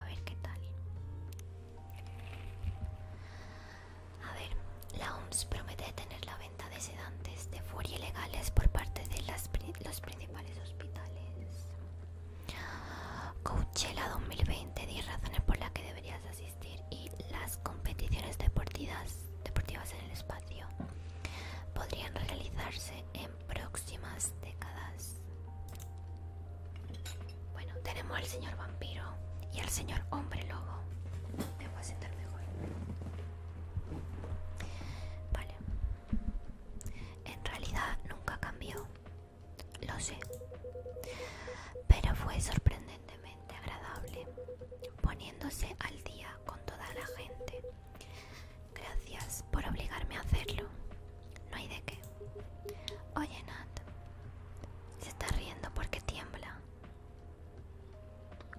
A ver qué tal. A ver, la OMS promete detener la venta de sedantes de furia ilegales por parte de las los principales hospitales. Coachella 2020, 10 razones por las que deberías asistir y las competiciones deportivas, deportivas en el espacio podrían realizarse en próximas décadas. Bueno, tenemos al señor vampiro y al señor hombre lobo. Me voy a mejor. Vale. En realidad nunca cambió lo sé, pero fue sorprendentemente agradable, poniéndose al día con toda la gente. Gracias por obligarme a hacerlo. No hay de qué. Oye, Nat, se está riendo porque tiembla.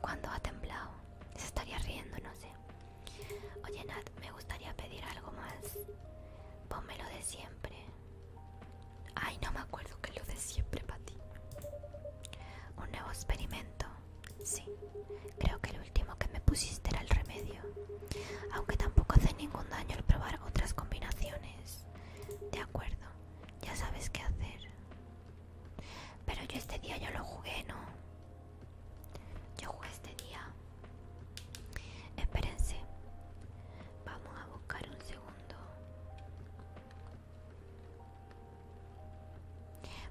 Cuando ha temblado, se estaría riendo, no sé. Oye Nat, me gustaría pedir algo más. Ponme lo de siempre. Ay, no me acuerdo que lo de siempre para ti. Un nuevo experimento. Sí, creo que el último que me pusiste era el remedio. Aunque tampoco hace ningún daño el probar otras combinaciones. De acuerdo, ya sabes qué hacer. Pero yo este día yo lo jugué, ¿no? Yo jugué este día. Espérense. Vamos a buscar un segundo.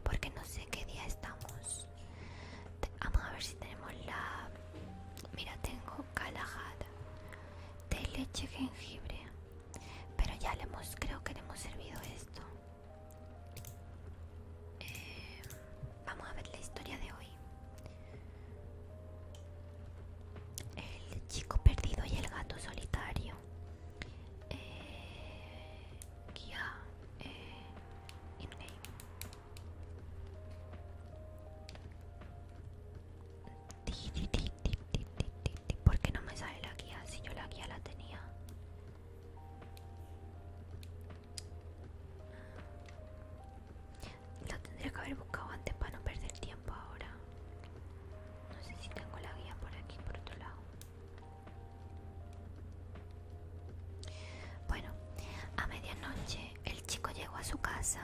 Porque no sé qué día estamos. Vamos a ver si tenemos la... Mira, tengo calajada De leche, jengibre. Pero ya le hemos... Creo que le hemos servido esto. Eh, Vamos a ver la historia de hoy. El chico perdido y el gato solitario. Eh, guía eh, ¿Por qué no me sale la guía si yo la guía la tenía? Lo tendría que haber buscado antes para no perder tiempo ahora. No sé si tengo la guía por aquí, por otro lado. Bueno, a medianoche el chico llegó a su casa.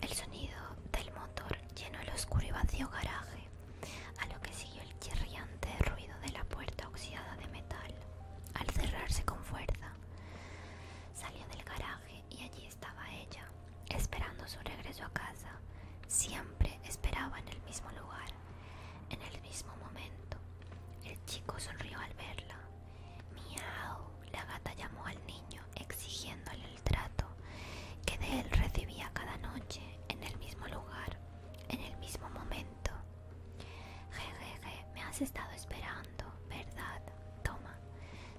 El sonido del motor llenó el oscuro y vacío garaje, a lo que siguió el chirriante ruido de la puerta oxidada de metal al cerrarse con fuerza. Salió del garaje y allí estaba ella, esperando su regreso a casa. Siempre esperaba en el mismo lugar, en el mismo momento. El chico sonrió al verla. Miau, la gata llamó al niño exigiéndole el trato que de él recibía cada noche, en el mismo lugar, en el mismo momento. Jejeje, me has estado esperando, ¿verdad? Toma,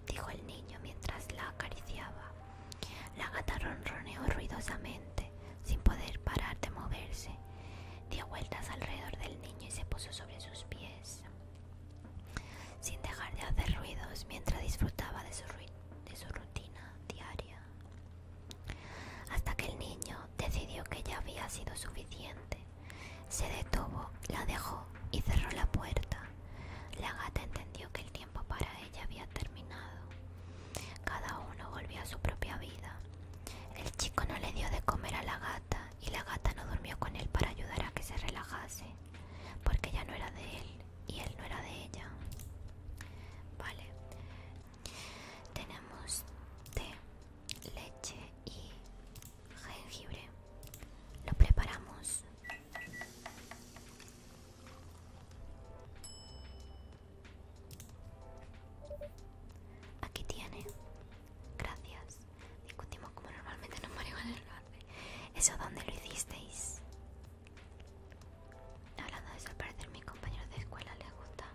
dijo el niño mientras la acariciaba. La gata ronroneó ruidosamente, sin poder parar de moverse. Dio vueltas alrededor del niño y se puso sobre sus pies, sin dejar de hacer ruidos mientras disfrutaba de su rutina diaria. Hasta que el niño decidió que ya había sido suficiente se detuvo, la dejó y cerró la puerta. La gata entendió que el tiempo para ella había terminado. Cada uno volvió a su propia vida. El chico no le dio de comer a la gata y la gata no durmió con él para ayudar a que se relajase, porque ella no era de él y él no era de ella. Vale. Tenemos té, leche y jengibre. Lo preparamos. Aquí tiene. Gracias. Discutimos como normalmente no en el norte ¿Eso dónde lo hicisteis? Hablando de desaparecer mi compañero mis compañeros de escuela les gusta.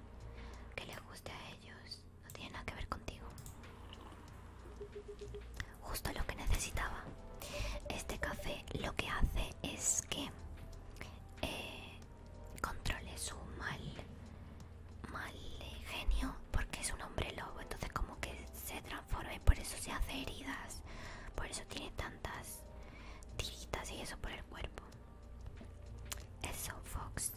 Que les guste a ellos. No tiene nada que ver contigo. Justo lo que necesitaba. Este café lo que hace es que eh, controle su mal, mal genio, porque es un hombre lobo, entonces como que se transforma y por eso se hace heridas, por eso tiene tantas tiritas y eso por el cuerpo. Eso, Fox.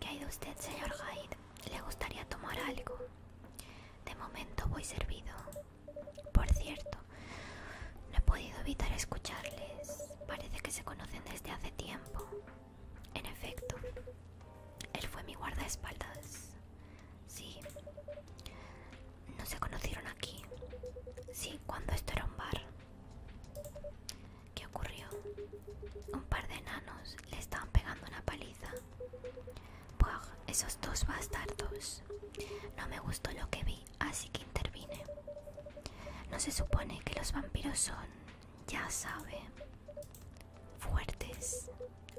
¿Qué hay de usted, señor Jai? le gustaría tomar algo. De momento voy servido. Por cierto, no he podido evitar escucharles. Parece que se conocen desde hace tiempo. En efecto, él fue mi guardaespaldas. Sí. No se conocieron aquí. Sí, cuando esto era un bar. ¿Qué ocurrió? Un par de enanos le estaban pegando una paliza. esos dos bastardos. No me gustó lo que vi, así que intervine. No se supone que los vampiros son, ya sabe, fuertes.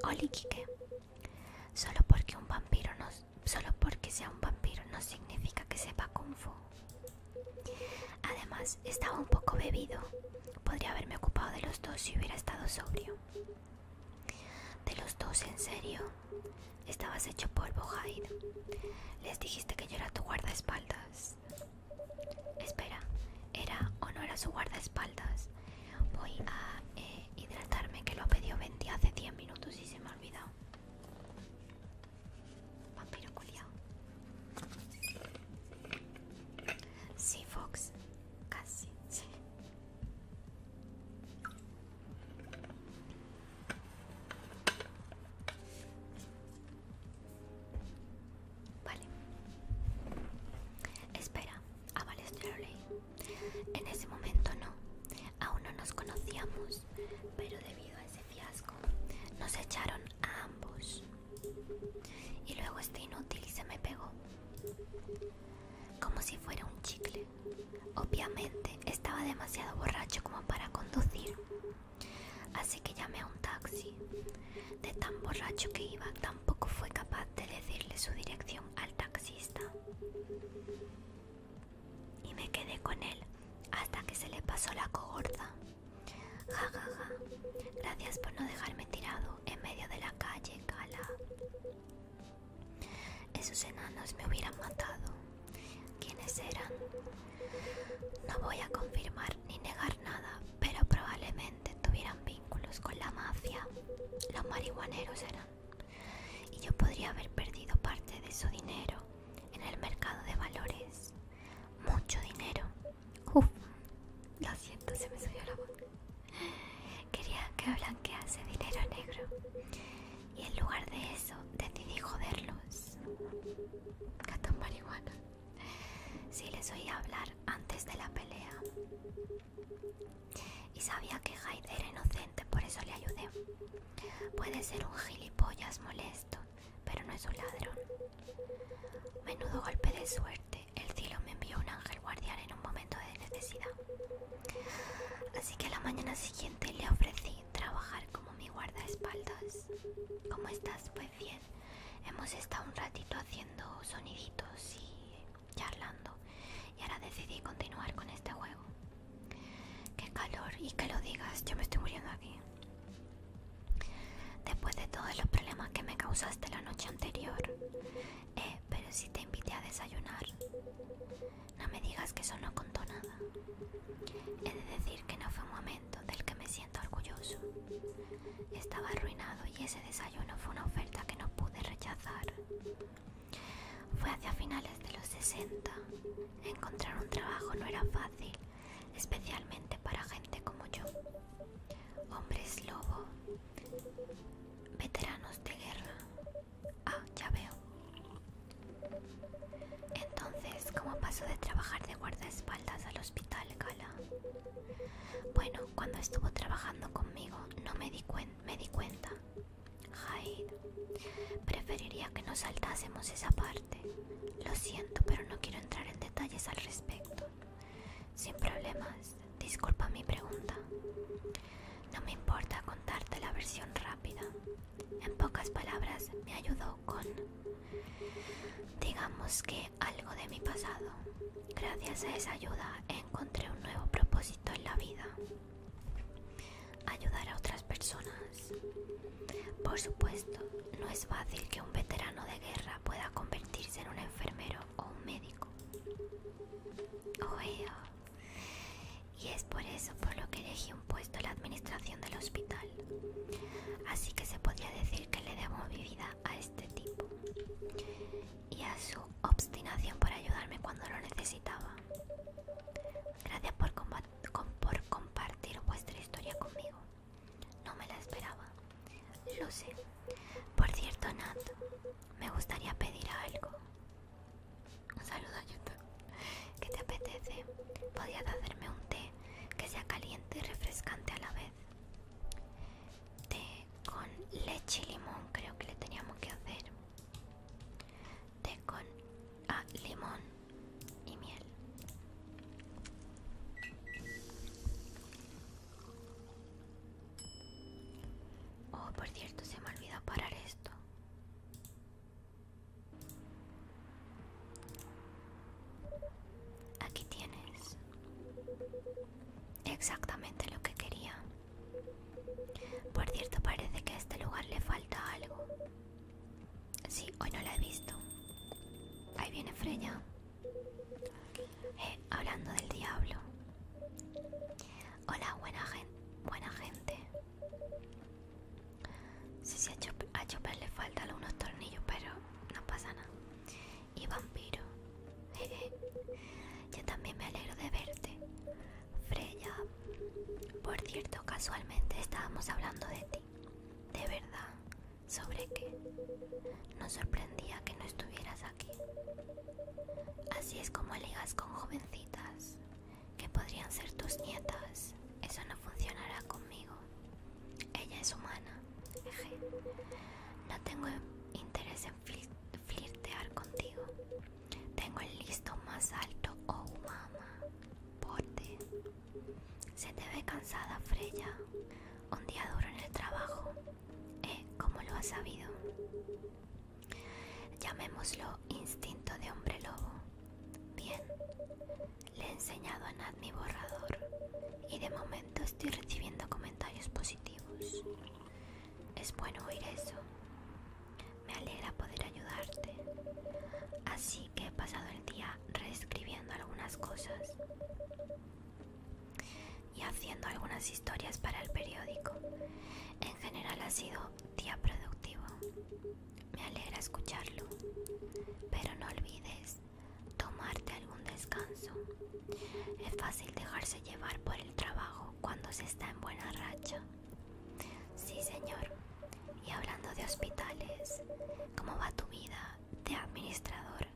Oli Kike. Solo porque un vampiro no, solo porque sea un vampiro no significa que sepa kung fu. Además, estaba un poco bebido. Podría haberme ocupado de los dos si hubiera estado sobrio. De los dos, en serio. Estabas hecho polvo, Hyde. Les dijiste que yo era tu guardaespaldas. Espera, ¿era o no era su guardaespaldas? Voy a eh, hidratarme, que lo ha pedido Bendy hace 10 minutos y se me ha olvidado. Vampiro culiao. Sí, Fox. Casi, Vale. Espera. a ah, Valester En ese momento no. Aún no nos conocíamos. Pero debido a ese fiasco, nos echaron a ambos. Y luego este inútil se me pegó. Como si fuera un chicle. Obviamente estaba demasiado borracho como para conducir. Así que llamé a un taxi. De tan borracho que iba, tampoco fue capaz de decirle su dirección al taxista. Y me quedé con él hasta que se le pasó la cogorda. Ja, Gracias por no dejarme tirado en medio de la calle, Kala. Esos enanos me hubieran matado. ¿Quiénes eran? No voy a confirmar ni negar nada, pero probablemente tuvieran vínculos con la mafia. Los marihuaneros eran. Y yo podría haber perdido parte de su dinero en el mercado de valores mucho dinero. Uf, lo siento, se me subió la voz. Quería que blanquease dinero negro y en lugar de eso decidí joderlos. Catón marihuana. Sí, les oía hablar antes de la pelea y sabía que Hyde era inocente, por eso le ayudé. Puede ser un gilipollas molesto, pero no es un ladrón. Menudo golpe de suerte. El cielo me envió un ángel guardián en un momento de necesidad. Así que la mañana siguiente le ofrecí trabajar como mi guardaespaldas. ¿Cómo estás? Pues bien. Hemos estado un ratito haciendo soniditos y charlando. Y ahora decidí continuar con este juego. Qué calor y que lo digas, yo me estoy muriendo aquí. Después de todos los problemas que me causaste la noche anterior. Eh, pero si te invité a desayunar. No me digas que eso no contó nada. He de decir que no fue un momento del que me siento orgulloso. Estaba arruinado y ese desayuno fue una oferta que no pude rechazar. Fue hacia finales de los 60. Encontrar un trabajo no era fácil especialmente para gente como yo. Hombres lobo, veteranos de guerra. Ah, ya veo. Entonces, ¿cómo pasó de trabajar de guardaespaldas al hospital, Gala? Bueno, cuando estuvo trabajando conmigo, no me di, cuenta me di cuenta. Hyde, preferiría que nos saltásemos esa parte. Lo siento, pero no quiero entrar en detalles al respecto. Sin problemas, disculpa mi pregunta. No me importa contarte la versión rápida. En pocas palabras, me ayudó con, digamos que, algo de mi pasado. Gracias a esa ayuda encontré un nuevo propósito en la vida. Ayudar a otras personas. Por supuesto, no es fácil que un veterano de guerra pueda convertirse en un enfermero o un médico. Y es por eso por lo que elegí un puesto en la administración del hospital. Así que se podría decir que le debo mi vida a este tipo y a su obstinación por ayudarme cuando lo necesitaba. Gracias por compartir vuestra historia conmigo. No me la esperaba. Lo sé. Por cierto, Nat, me gustaría pedir algo. Un saludo a YouTube. ¿Qué te apetece? ¿Podías hacerme un té que sea caliente y refrescante a la vez? Té con leche y limón, creo que le teníamos que hacer. Té con ah, limón y miel. Oh, por cierto, se me olvidó parar esto. Aquí tienes exactamente lo que quería. Por cierto, parece que a este lugar le falta algo. Sí, hoy no la he visto. Ahí viene Freya. Eh, hablando del diablo. Hola, buena gente. Buena gente. Sí, sí, a Chopper, le faltan algunos tornillos, pero no pasa nada. Y vampiro. Yo también me alegro de verte. Freya. Por cierto, casualmente estábamos hablando de ti. De verdad sobre qué? No sorprendía que no estuvieras aquí. Así es como ligas con jovencitas que podrían ser tus nietas. Eso no funcionará conmigo. Ella es humana. No tengo interés en flirtear contigo. Tengo el listo más alto, oh mama. ti. Se te ve cansada, Freya. Un día duro en el trabajo. Eh, como lo has sabido. Llamémoslo instinto de hombre lobo. Bien. Le he enseñado a nadie mi borrador. Y de momento estoy recibiendo comentarios positivos. Es bueno oír eso. Me alegra poder ayudarte. Así que he pasado el día reescribiendo algunas cosas y haciendo algunas historias para el periódico. En general ha sido día productivo. Me alegra escucharlo. Pero no olvides tomarte algún descanso. Es fácil dejarse llevar por el trabajo cuando se está en buena racha. Sí, señor. Y hablando de hospitales, ¿cómo va tu vida? de administrador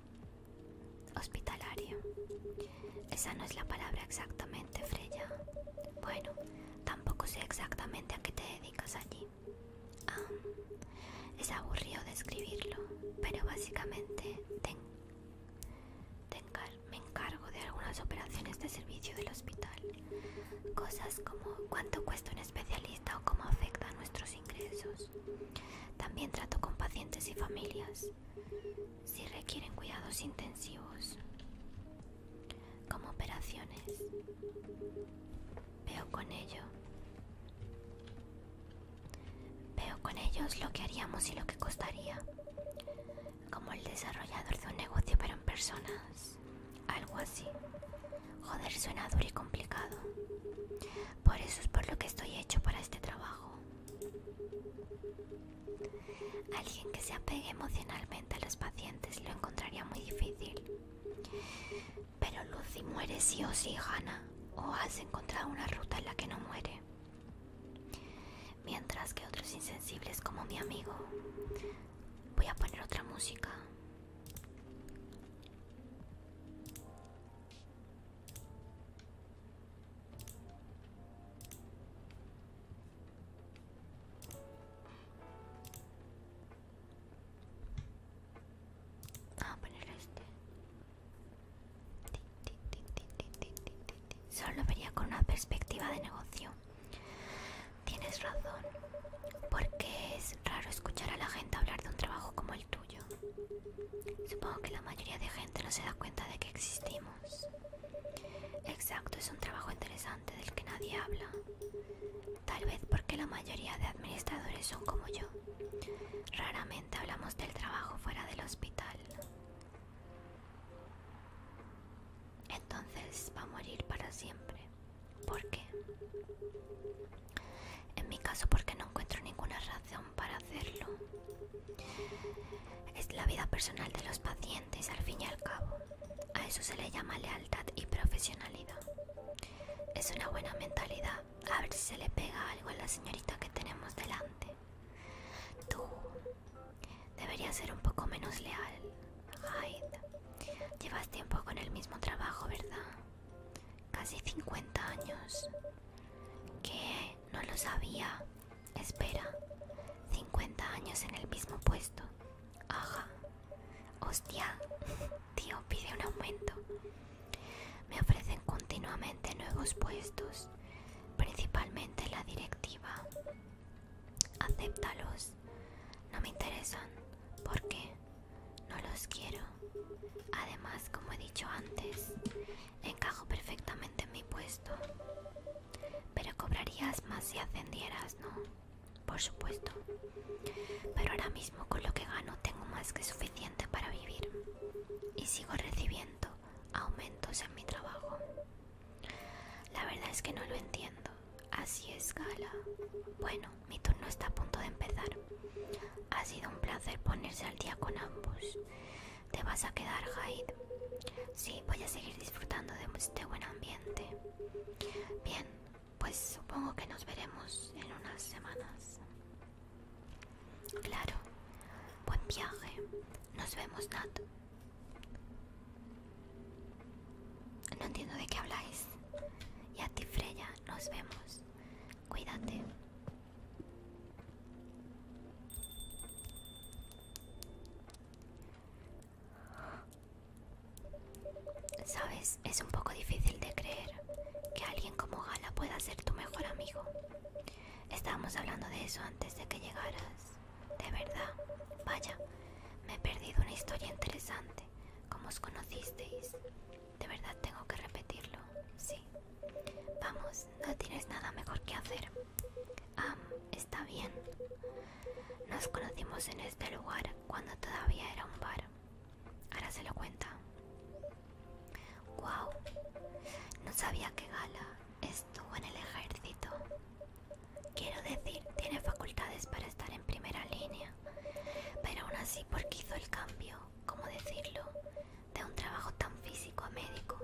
hospitalario. Esa no es la palabra exactamente, Freya. Bueno, tampoco sé exactamente a qué te dedicas allí. es aburrido describirlo, pero básicamente me encargo de algunas operaciones de servicio del hospital. Cosas como cuánto cuesta un especialista o cómo afecta a nuestros ingresos. También trato con pacientes y familias si requieren cuidados intensivos, como operaciones. Veo con ello. Veo con ellos lo que haríamos y lo que costaría. Como el desarrollador de un negocio pero en personas. Algo así. Joder, suena duro y complicado. Por eso es por lo que estoy hecho para este trabajo. Alguien que se apegue emocionalmente a los pacientes lo encontraría muy difícil. Pero Lucy muere sí o sí, gana. o has encontrado una ruta en la que no muere. Mientras que otros insensibles como mi amigo... Voy a poner otra música poner este. Solo vería con una perspectiva de negocio. Tienes razón, porque es raro escuchar a la gente hablar de un trabajo como Supongo que la mayoría de gente no se da cuenta de que existimos. Exacto, es un trabajo interesante del que nadie habla. Tal vez porque la mayoría de administradores son como yo. Raramente hablamos del trabajo fuera del hospital. Entonces va a morir para siempre. ¿Por qué? En mi caso porque no encuentro ninguna razón para hacerlo. Es la vida personal de los pacientes al fin y al cabo. A eso se le llama lealtad y profesionalidad. Es una buena mentalidad. A ver si se le pega algo a la señorita que tenemos delante. Tú deberías ser un poco menos leal. Hyde. Llevas tiempo con el mismo trabajo, ¿verdad? casi 50 años. Que no lo sabía. Espera, 50 años en el mismo puesto. aja Hostia, tío, pide un aumento. Me ofrecen continuamente nuevos puestos, principalmente la directiva. Acéptalos. No me interesan. ¿Por qué? no los quiero. Además, como he dicho antes, encajo perfectamente en mi puesto. Pero cobrarías más si ascendieras, ¿no? Por supuesto. Pero ahora mismo con lo que gano tengo más que suficiente para vivir. Y sigo recibiendo aumentos en mi trabajo. La verdad es que no lo entiendo. Así es, Gala. Bueno, mi turno está a punto de empezar. Ha sido un placer ponerse al día con ambos. ¿Te vas a quedar, Hyde? Sí, voy a seguir disfrutando de este buen ambiente. Bien, pues supongo que nos veremos en unas semanas. Claro, buen viaje. Nos vemos, Nat. No entiendo de qué habláis. Y a ti, Freya, nos vemos. Cuídate. Sabes, es un poco difícil de creer que alguien como Gala pueda ser tu mejor amigo. Estábamos hablando de eso antes de que llegaras. De verdad, vaya, me he perdido una historia interesante. ¿Cómo os conocisteis? De verdad tengo que repetirlo, sí. Vamos, no tienes nada mejor que hacer. Ah, está bien. Nos conocimos en este lugar cuando todavía era un bar. Ahora se lo cuenta. Wow, no sabía que Gala estuvo en el ejército. Quiero decir, tiene facultades para estar en primera línea pero aún así porque hizo el cambio, como decirlo?, de un trabajo tan físico a médico.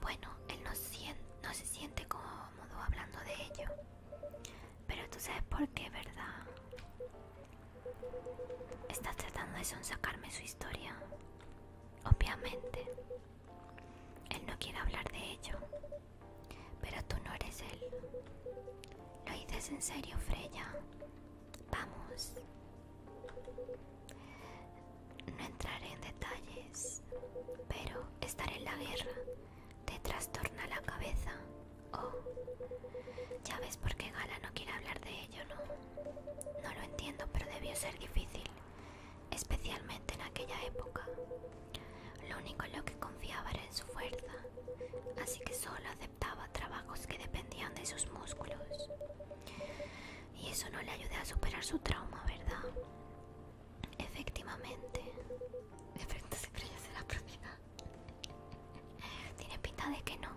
Bueno, él no, no se siente cómodo hablando de ello, pero tú sabes por qué, ¿verdad? Estás tratando de sacarme su historia. Obviamente, él no quiere hablar de ello. Pero tú no eres él. Lo dices en serio, Freya. Vamos. No entraré en detalles, pero estar en la guerra te trastorna la cabeza. Oh, ya ves por qué Gala no quiere hablar de ello, ¿no? No lo entiendo, pero debió ser difícil, especialmente en aquella época. Lo único en lo que confiaba era en su fuerza, así que solo trabajos que dependían de sus músculos. Y eso no le ayudó a superar su trauma, ¿verdad? Efectivamente. De se de la propiedad. Tiene pinta de que no.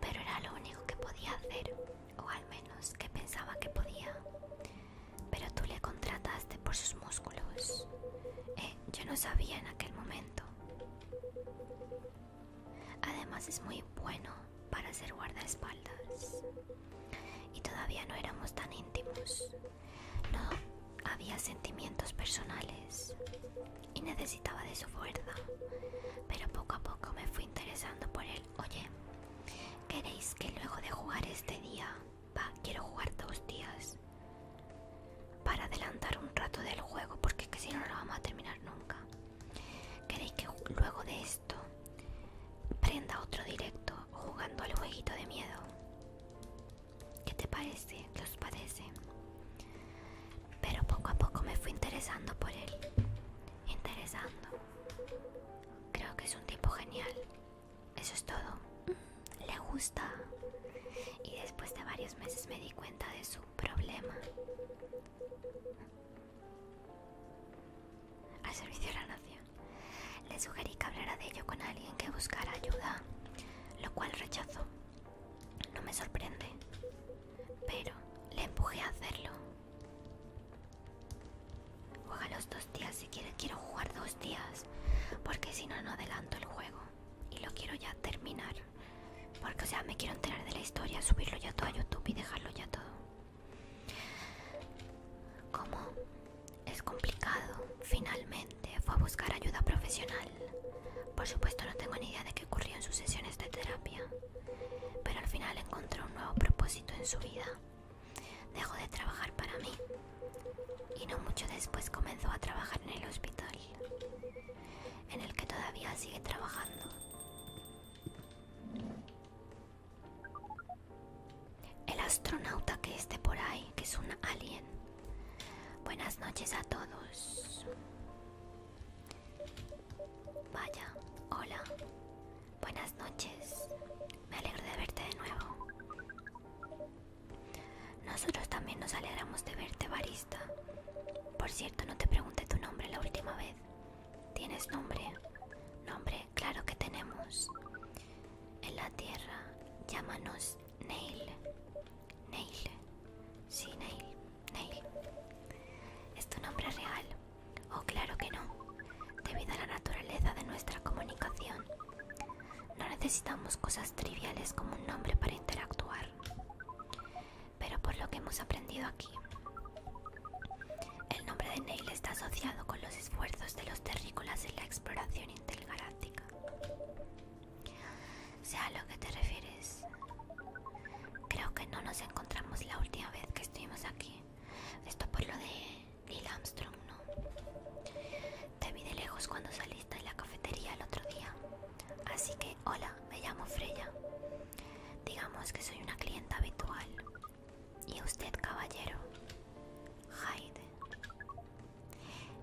Pero era lo único que podía hacer. O al menos que pensaba que podía. Pero tú le contrataste por sus músculos. Eh, yo no sabía en aquel momento. Además es muy bueno para ser guardaespaldas. Y todavía no éramos tan íntimos. No había sentimientos personales y necesitaba de su fuerza. Pero poco a poco me fui interesando por él. Oye, ¿queréis que luego de jugar este día Va, quiero jugar dos días para adelantar un rato del juego porque que si no, no lo vamos a terminar nunca. ¿Queréis que luego de esto prenda otro directo jugando al jueguito de miedo? ¿Qué te parece? ¿Qué os parece? Pero poco a poco me fui interesando por él. Interesando. Creo que es un tipo genial. Eso es todo le gusta. Y después de varios meses me di cuenta de su problema. Al servicio de la nación. Le sugerí que hablara de ello con alguien que buscara ayuda, lo cual rechazó. No me sorprende, pero le empujé a hacerlo. Juega los dos días si quiere quiero jugar dos días, porque si no, no adelanto el juego y lo quiero ya terminar porque o sea me quiero enterar de la historia subirlo ya todo a youtube y dejarlo ya todo como es complicado finalmente fue a buscar ayuda profesional por supuesto no tengo ni idea de qué ocurrió en sus sesiones de terapia pero al final encontró un nuevo propósito en su vida dejó de trabajar para mí y no mucho después comenzó a trabajar en el hospital, en el que todavía sigue trabajando. El astronauta que esté por ahí, que es un alien. Buenas noches a todos. Vaya, hola. Buenas noches. Me alegro de verte de nuevo. Nosotros también nos alegramos de verte, Barista. Por cierto, no te pregunté tu nombre la última vez. ¿Tienes nombre? Nombre, claro que tenemos. En la tierra, llámanos Neil. Neil. Sí, Neil. Neil. ¿Es tu nombre real? Oh, claro que no. Debido a la naturaleza de nuestra comunicación, no necesitamos cosas triviales como un nombre para interactuar. Pero por lo que hemos aprendido aquí, el nombre de Neil está asociado con los esfuerzos de los terrícolas en la exploración intergaláctica. Sea a lo que te refieres. Creo que no nos encontramos la última vez que estuvimos aquí. Esto por lo de Neil Armstrong, ¿no? Te vi de lejos cuando saliste de la cafetería el otro día. Así que, hola, me llamo Freya. Digamos que soy una clienta habitual. ¿Y usted, caballero? Hyde.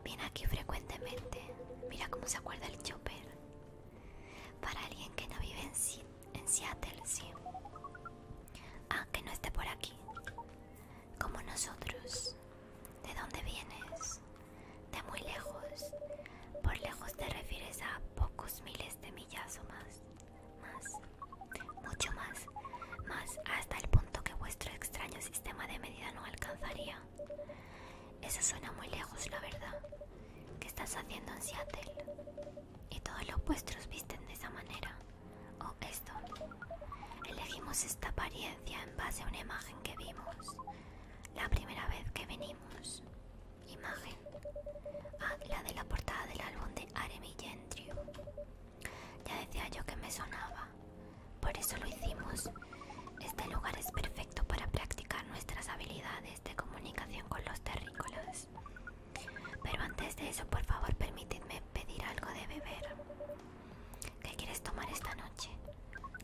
Viene aquí frecuentemente. Mira cómo se acuerda el chopper. Para alguien que no vive en, Seattle, sí. Ah, que no esté por aquí como nosotros. ¿De dónde vienes? De muy lejos. Por lejos te refieres a pocos miles de millas o más. Más. Mucho más. Más hasta el punto que vuestro extraño sistema de medida no alcanzaría. Eso suena muy lejos, la verdad. ¿Qué estás haciendo en Seattle? Y todos los vuestros visten de esa manera. ¿O oh, esto? Elegimos esta, pared en base a una imagen que vimos la primera vez que venimos. Imagen. Ah, la de la portada del álbum de Aremi Gentry. Ya decía yo que me sonaba. Por eso lo hicimos. Este lugar es perfecto para practicar nuestras habilidades de comunicación con los terrícolas. Pero antes de eso, por favor, permitidme pedir algo de beber. ¿Qué quieres tomar esta noche?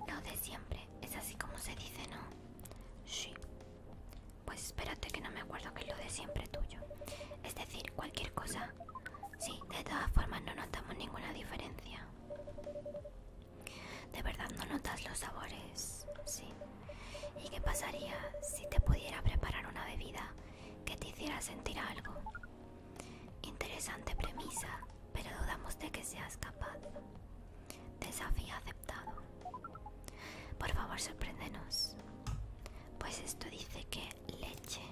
Lo de siempre, es así como se dice, ¿no? Sí. Pues espérate que no me acuerdo que es lo de siempre tuyo. Es decir, cualquier cosa. Sí, de todas formas no notamos ninguna diferencia. De verdad no notas los sabores, sí. ¿Y qué pasaría si te pudiera preparar una bebida que te hiciera sentir algo? Interesante premisa, pero dudamos de que seas capaz. Desafío aceptado. Por favor, sorpréndenos. Pues esto dice que leche,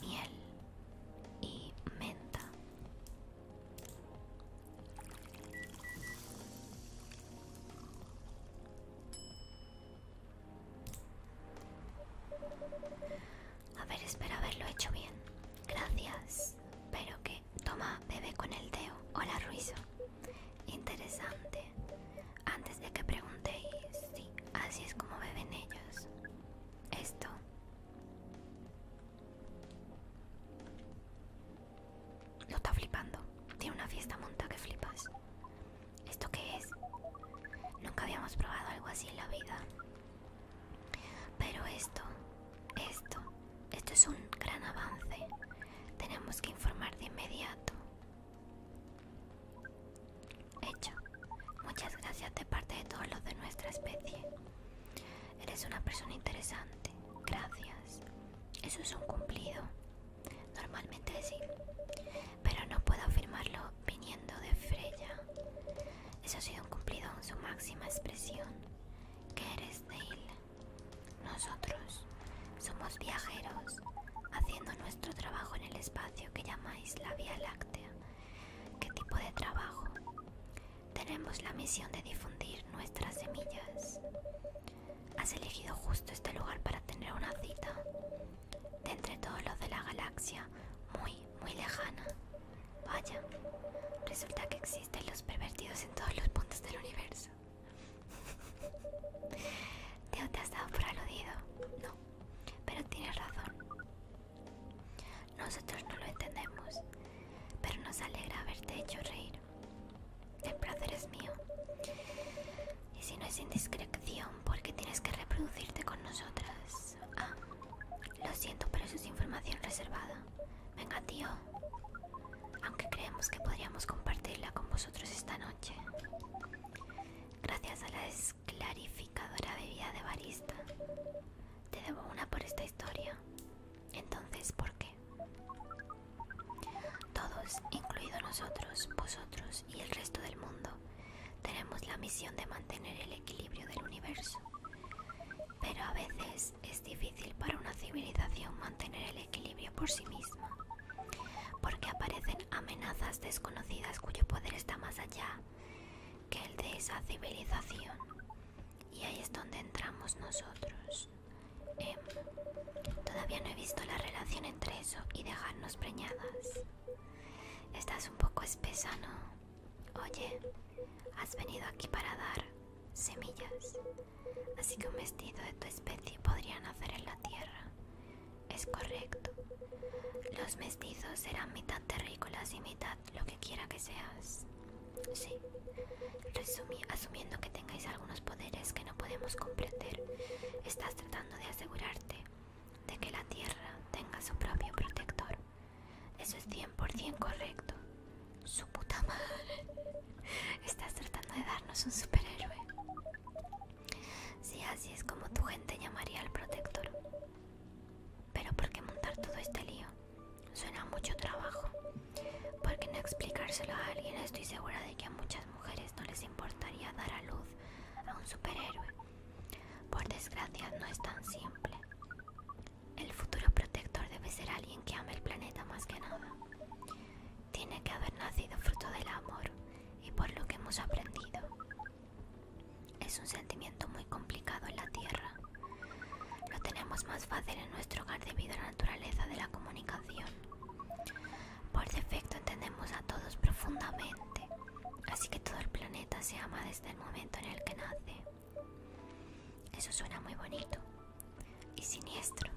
miel y menta. A ver, espero haberlo hecho bien. Gracias. Pero que... Toma, bebe con el teo Hola, Ruizo. Interesante. Antes de que preguntéis, sí, así es como beben ellos. Esto. No está flipando. Tiene una fiesta monta que flipas. ¿Esto qué es? Nunca habíamos probado algo así en la vida. Pero esto, esto, esto es un gran avance. Tenemos que informar de inmediato. Hecho. Muchas gracias de parte de todos los de nuestra especie. Eres una persona interesante. Gracias. Eso es un cumplido. Normalmente sí. Pero no puedo afirmarlo viniendo de Freya. Eso ha sido un cumplido en su máxima expresión. Que eres, Dale? Nosotros somos viajeros, haciendo nuestro trabajo en el espacio que llamáis la Vía Láctea. ¿Qué tipo de trabajo? Tenemos la misión de difundir nuestras semillas. Has elegido justo este lugar para tener una cita. De entre todos los de la galaxia, muy muy lejana. Vaya, resulta que existen los pervertidos en todos los puntos del universo. Teo, te has dado por aludido. No, pero tienes razón. Nosotros no lo entendemos, pero nos alegra haberte hecho reír. El placer es mío. Y si no es indiscreción, porque tienes que reproducirte con nosotras. Pues, ah, lo siento, pero eso es información reservada. Venga, tío. Aunque creemos que podríamos compartirla con vosotros esta noche. Gracias a la desclarificadora bebida de barista. Te debo una por esta historia. Entonces, ¿por qué? Todos, incluido nosotros, vosotros y el resto del mundo, tenemos la misión de mantener el equilibrio del universo, pero a veces es difícil para una civilización mantener el equilibrio por sí misma, porque aparecen amenazas desconocidas cuyo poder está más allá que el de esa civilización. Y ahí es donde entramos nosotros. Em. todavía no he visto la relación entre eso y dejarnos preñadas. Estás un poco espesa, ¿no? Oye, has venido aquí para dar semillas, así que un vestido de tu especie podría nacer en la tierra. Es correcto. Los mestizos serán mitad terrícolas y mitad lo que quiera que seas. Sí, asumiendo que tengáis algunos poderes que no podemos comprender, estás tratando de asegurarte de que la tierra tenga su propio protector. Eso es 100% correcto. Su puta madre. Estás tratando de darnos un superhéroe. Si así es como tu gente llamaría al protector. Pero ¿por qué montar todo este lío? Suena mucho trabajo. ¿Por qué no explicárselo a alguien? Estoy segura de que a muchas mujeres no les importaría dar a luz a un superhéroe. Por desgracia no es tan simple. El futuro protector debe ser alguien que ame el planeta más que nada. Tiene que haber nacido fruto del amor y por lo que hemos aprendido. Es un sentimiento muy complicado en la Tierra. Lo tenemos más fácil en nuestro hogar debido a la naturaleza de la comunicación. Por defecto entendemos a todos profundamente, así que todo el planeta se ama de desde el momento en el que nace. Eso suena muy bonito y siniestro.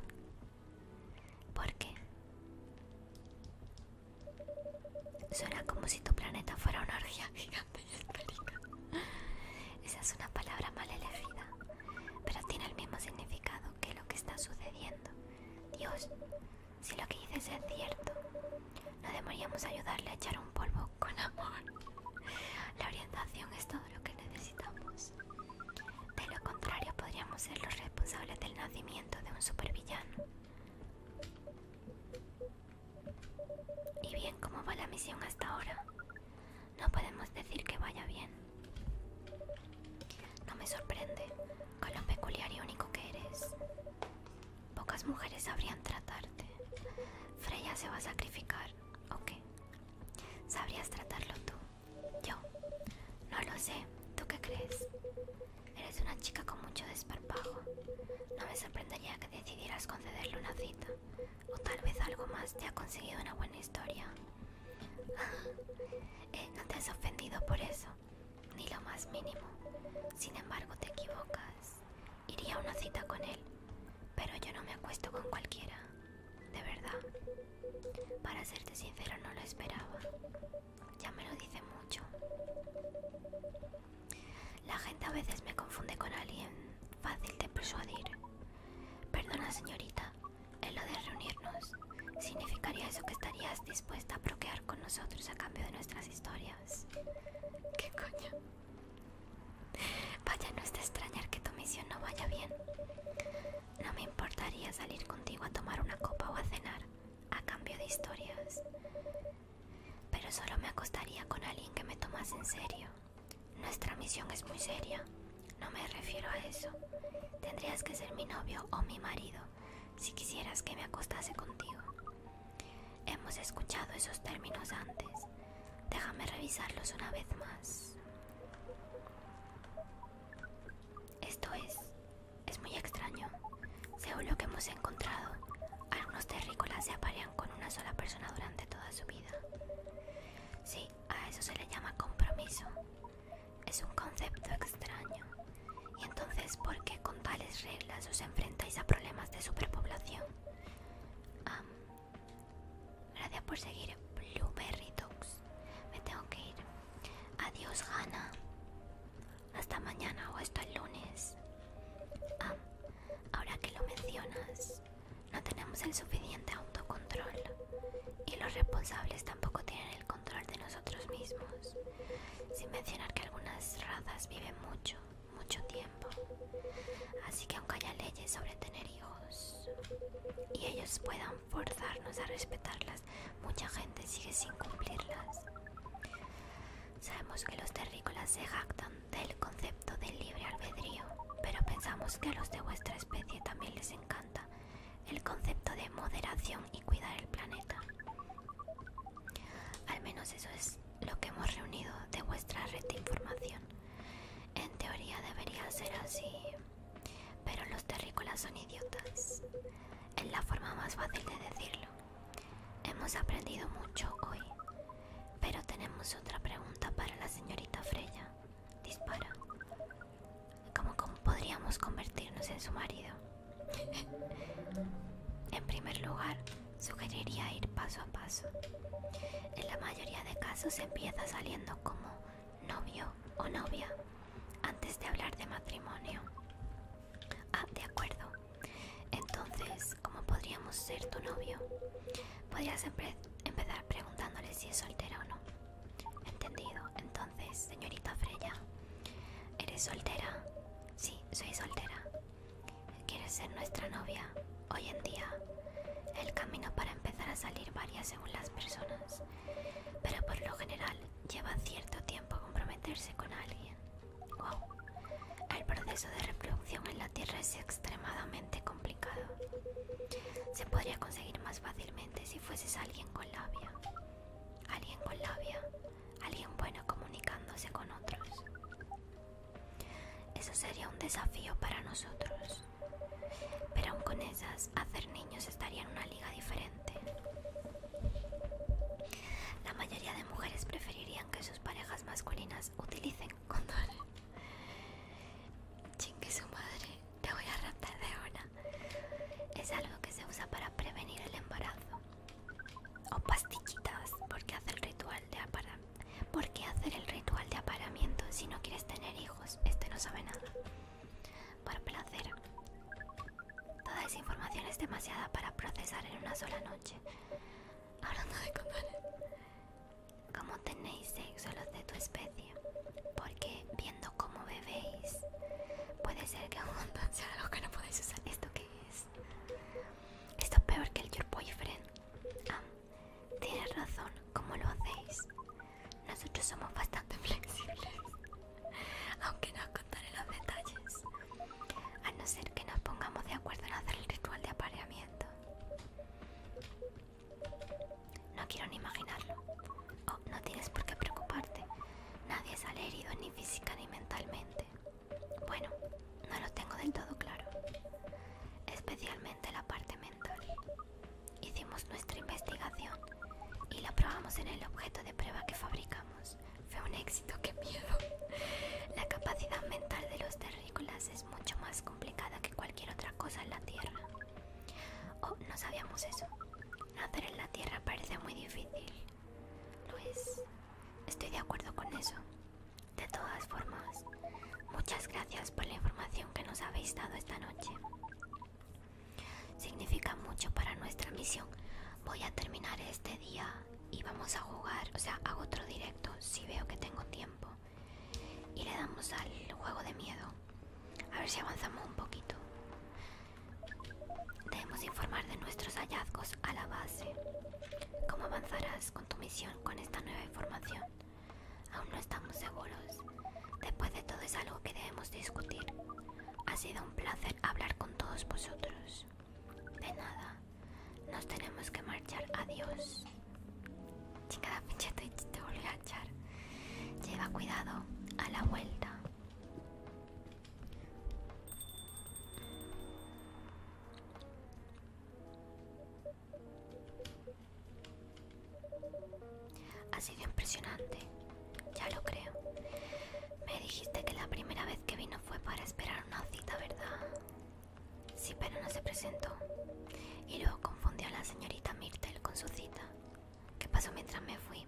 ¿Por qué? Suena como si tu planeta fuera una orgía gigante y Esa es una palabra mal elegida, pero tiene el mismo significado que lo que está sucediendo. Dios, si lo que dices es cierto, no deberíamos ayudarle a echar un polvo con amor. La orientación es todo lo que necesitamos. De lo contrario, podríamos ser los responsables del nacimiento de un supervillano. Y bien, ¿cómo va la misión hasta ahora? No podemos decir que vaya bien. No me sorprende, con lo peculiar y único que eres. Pocas mujeres sabrían tratarte. Freya se va a sacrificar, ¿o qué? ¿Sabrías tratarlo tú? Yo. No lo sé. ¿Tú qué crees? Eres una chica con mucho desparpajo. No me sorprendería que decidieras concederle una cita. O tal vez algo más te ha conseguido una buena historia. Eh, no te has ofendido por eso, ni lo más mínimo. Sin embargo, te equivocas. Iría a una cita con él, pero yo no me acuesto con cualquiera, de verdad. Para serte sincero, no lo esperaba. Ya me lo dice mucho. La gente a veces me confunde con alguien fácil de persuadir. Perdona, señorita, en lo de reunirnos, ¿significaría eso que estarías dispuesta a bloquear con nosotros a cambio de nuestras historias? ¿Qué coño? Vaya, no es de extrañar que tu misión no vaya bien. No me importaría salir contigo a tomar una copa o a cenar, a cambio de historias. Pero solo me acostaría con alguien que me tomase en serio. Nuestra misión es muy seria. No me refiero a eso. Tendrías que ser mi novio o mi marido si quisieras que me acostase contigo. Hemos escuchado esos términos antes. Déjame revisarlos una vez más. Esto es... es muy extraño. Según lo que hemos encontrado, algunos terrícolas se aparean con una sola persona durante toda su vida. Sí, a eso se le llama compromiso. Es un concepto extraño. Y entonces, ¿por qué con tales reglas os enfrentáis a problemas de superpoblación? gracias por seguir Blueberry Dogs. Me tengo que ir. Adiós, Gana Hasta mañana o hasta el lunes. ahora que lo mencionas, no tenemos el suficiente autocontrol y los responsables tampoco tienen el control de nosotros mismos. Sin mencionar que algunas razas viven mucho mucho tiempo. Así que aunque haya leyes sobre tener hijos y ellos puedan forzarnos a respetarlas, mucha gente sigue sin cumplirlas. Sabemos que los terrícolas se jactan del concepto del libre albedrío, pero pensamos que a los de vuestra especie también les encanta el concepto de moderación y cuidar el planeta. Al menos eso es lo que hemos reunido de vuestra red de información. En teoría debería ser así, pero los terrícolas son idiotas. Es la forma más fácil de decirlo. Hemos aprendido mucho hoy, pero tenemos otra pregunta para la señorita Freya. Dispara. cómo podríamos convertirnos en su marido? en primer lugar, sugeriría ir paso a paso. En la mayoría de casos empieza saliendo como novio o novia antes de hablar de matrimonio. Ah, de acuerdo. Entonces, ¿cómo podríamos ser tu novio? Podrías empezar preguntándole si es soltera o no. Entendido. Entonces, señorita Freya, ¿eres soltera? Sí, soy soltera. ¿Quieres ser nuestra novia? Hoy en día, el camino para empezar a salir varía según las personas, pero por lo general lleva cierto tiempo comprometerse con alguien. Wow. El proceso de reproducción en la Tierra es extremadamente complicado. Se podría conseguir más fácilmente si fueses alguien con labia. Alguien con labia alguien bueno comunicándose con otros. Eso sería un desafío para nosotros, pero aún con esas, hacer niños estaría en una liga diferente. La mayoría de mujeres preferirían que sus parejas masculinas utilicen condón. Chingue su madre, te voy a raptar de ahora. Es algo que se usa para prevenir el embarazo o pastillitas porque hace el ritual de ¿Por qué hacer el ritual de apareamiento si no quieres tener hijos? Este no sabe nada. Por placer. Toda esa información es demasiada para procesar en una sola noche. Hablando de condones. ¿Cómo tenéis sexo los de tu especie? Porque viendo cómo bebéis, puede ser que un montón sea los que no podéis usar. ¿Esto qué es? Esto es peor que el Your Boyfriend. Ah, tienes razón, ¿cómo lo hacéis? Nosotros somos bastante flexibles, aunque no os contaré los detalles. A no ser que nos pongamos de acuerdo en hacer el ritual de apareamiento. No quiero ni imaginarlo. Oh, no tienes por qué preocuparte. Nadie sale herido ni física ni mentalmente. Bueno, no lo tengo del todo claro. Especialmente la parte mental. Hicimos nuestra investigación y la probamos en el objeto de prueba que fabricamos. Fue un éxito, qué miedo. La capacidad mental de los terrícolas es mucho más complicada que cualquier otra cosa en la Tierra. Oh, no sabíamos eso. Nacer en la Tierra parece muy difícil. Lo es. Estoy de acuerdo con eso. De todas formas, muchas gracias por la información que nos habéis dado esta noche. Significa mucho para nuestra misión. Voy a terminar este día y vamos a jugar, o sea, hago otro directo si veo que tengo tiempo. Y le damos al juego de miedo. A ver si avanzamos un poquito. Debemos informar de nuestros hallazgos a la base. ¿Cómo avanzarás con tu misión con esta nueva información? Aún no estamos seguros. Después de todo es algo que debemos discutir. Ha sido un placer hablar con todos vosotros. De nada. Nos tenemos que marchar. Adiós. Chingada pinche te, te a echar. Lleva cuidado a la vuelta. Ha sido impresionante, ya lo creo. Me dijiste que la primera vez que vino fue para esperar una cita, ¿verdad? Sí, pero no se presentó. Y luego confundió a la señorita Myrtle con su cita. ¿Qué pasó mientras me fui?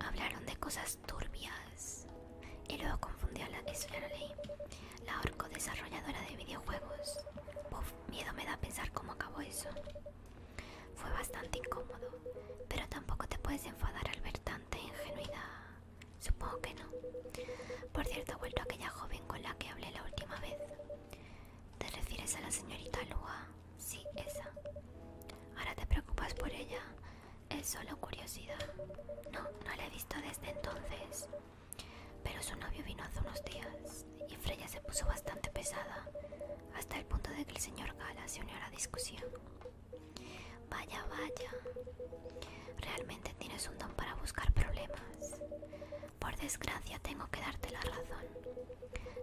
Hablaron de cosas turbias. Y luego confundí a la... que La orco desarrolladora de videojuegos. miedo me da pensar cómo acabó eso. Fue bastante incómodo, pero tampoco te puedes enfadar al ver tanta ingenuidad. Supongo que no. Por cierto, ha vuelto a aquella joven con la que hablé la última vez. ¿Te refieres a la señorita Lua? Sí, esa. Ahora te preocupas por ella es solo curiosidad. No, no la he visto desde entonces. Pero su novio vino hace unos días y Freya se puso bastante pesada, hasta el punto de que el señor Gala se unió a la discusión. Vaya, vaya. Realmente tienes un don para buscar problemas. Por desgracia tengo que darte la razón.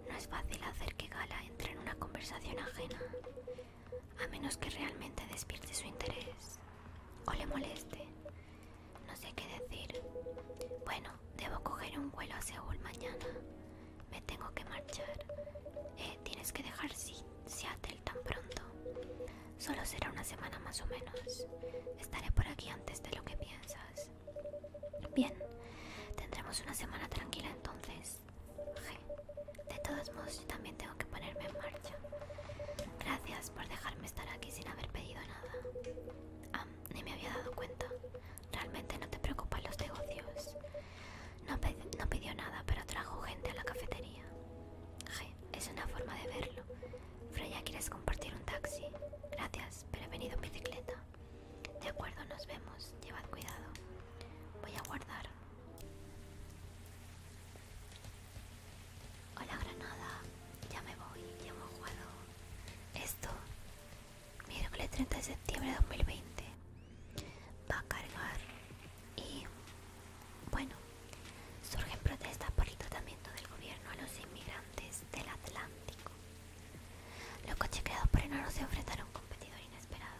No es fácil hacer que Gala entre en una conversación ajena a menos que realmente despierte su interés o le moleste. No sé qué decir. Bueno, debo coger un vuelo a Seúl mañana. Me tengo que marchar. Eh, tienes que dejar Seattle tan pronto. Solo será una semana más o menos. Estaré por aquí antes de lo que piensas. Bien, tendremos una semana tranquila entonces. G, pues, de todos modos yo también tengo que ponerme en marcha. Gracias por dejarme estar aquí sin haber pedido nada. Ah, ni me había dado cuenta. Realmente no te preocupan los negocios. No, no pidió nada, pero trajo gente a la cafetería. Je, es una forma de verlo. Freya, ¿quieres compartir un taxi? Gracias, pero he venido en bicicleta. De acuerdo, nos vemos. Llevad cuidado. Voy a guardar. Hola Granada, ya me voy, ya hemos jugado esto. Miércoles 30 de septiembre de 2020. Va a cargar y bueno, surgen protestas por el tratamiento del gobierno a los inmigrantes del Atlántico. Los coches creados por enanos se enfrentaron a un competidor inesperado.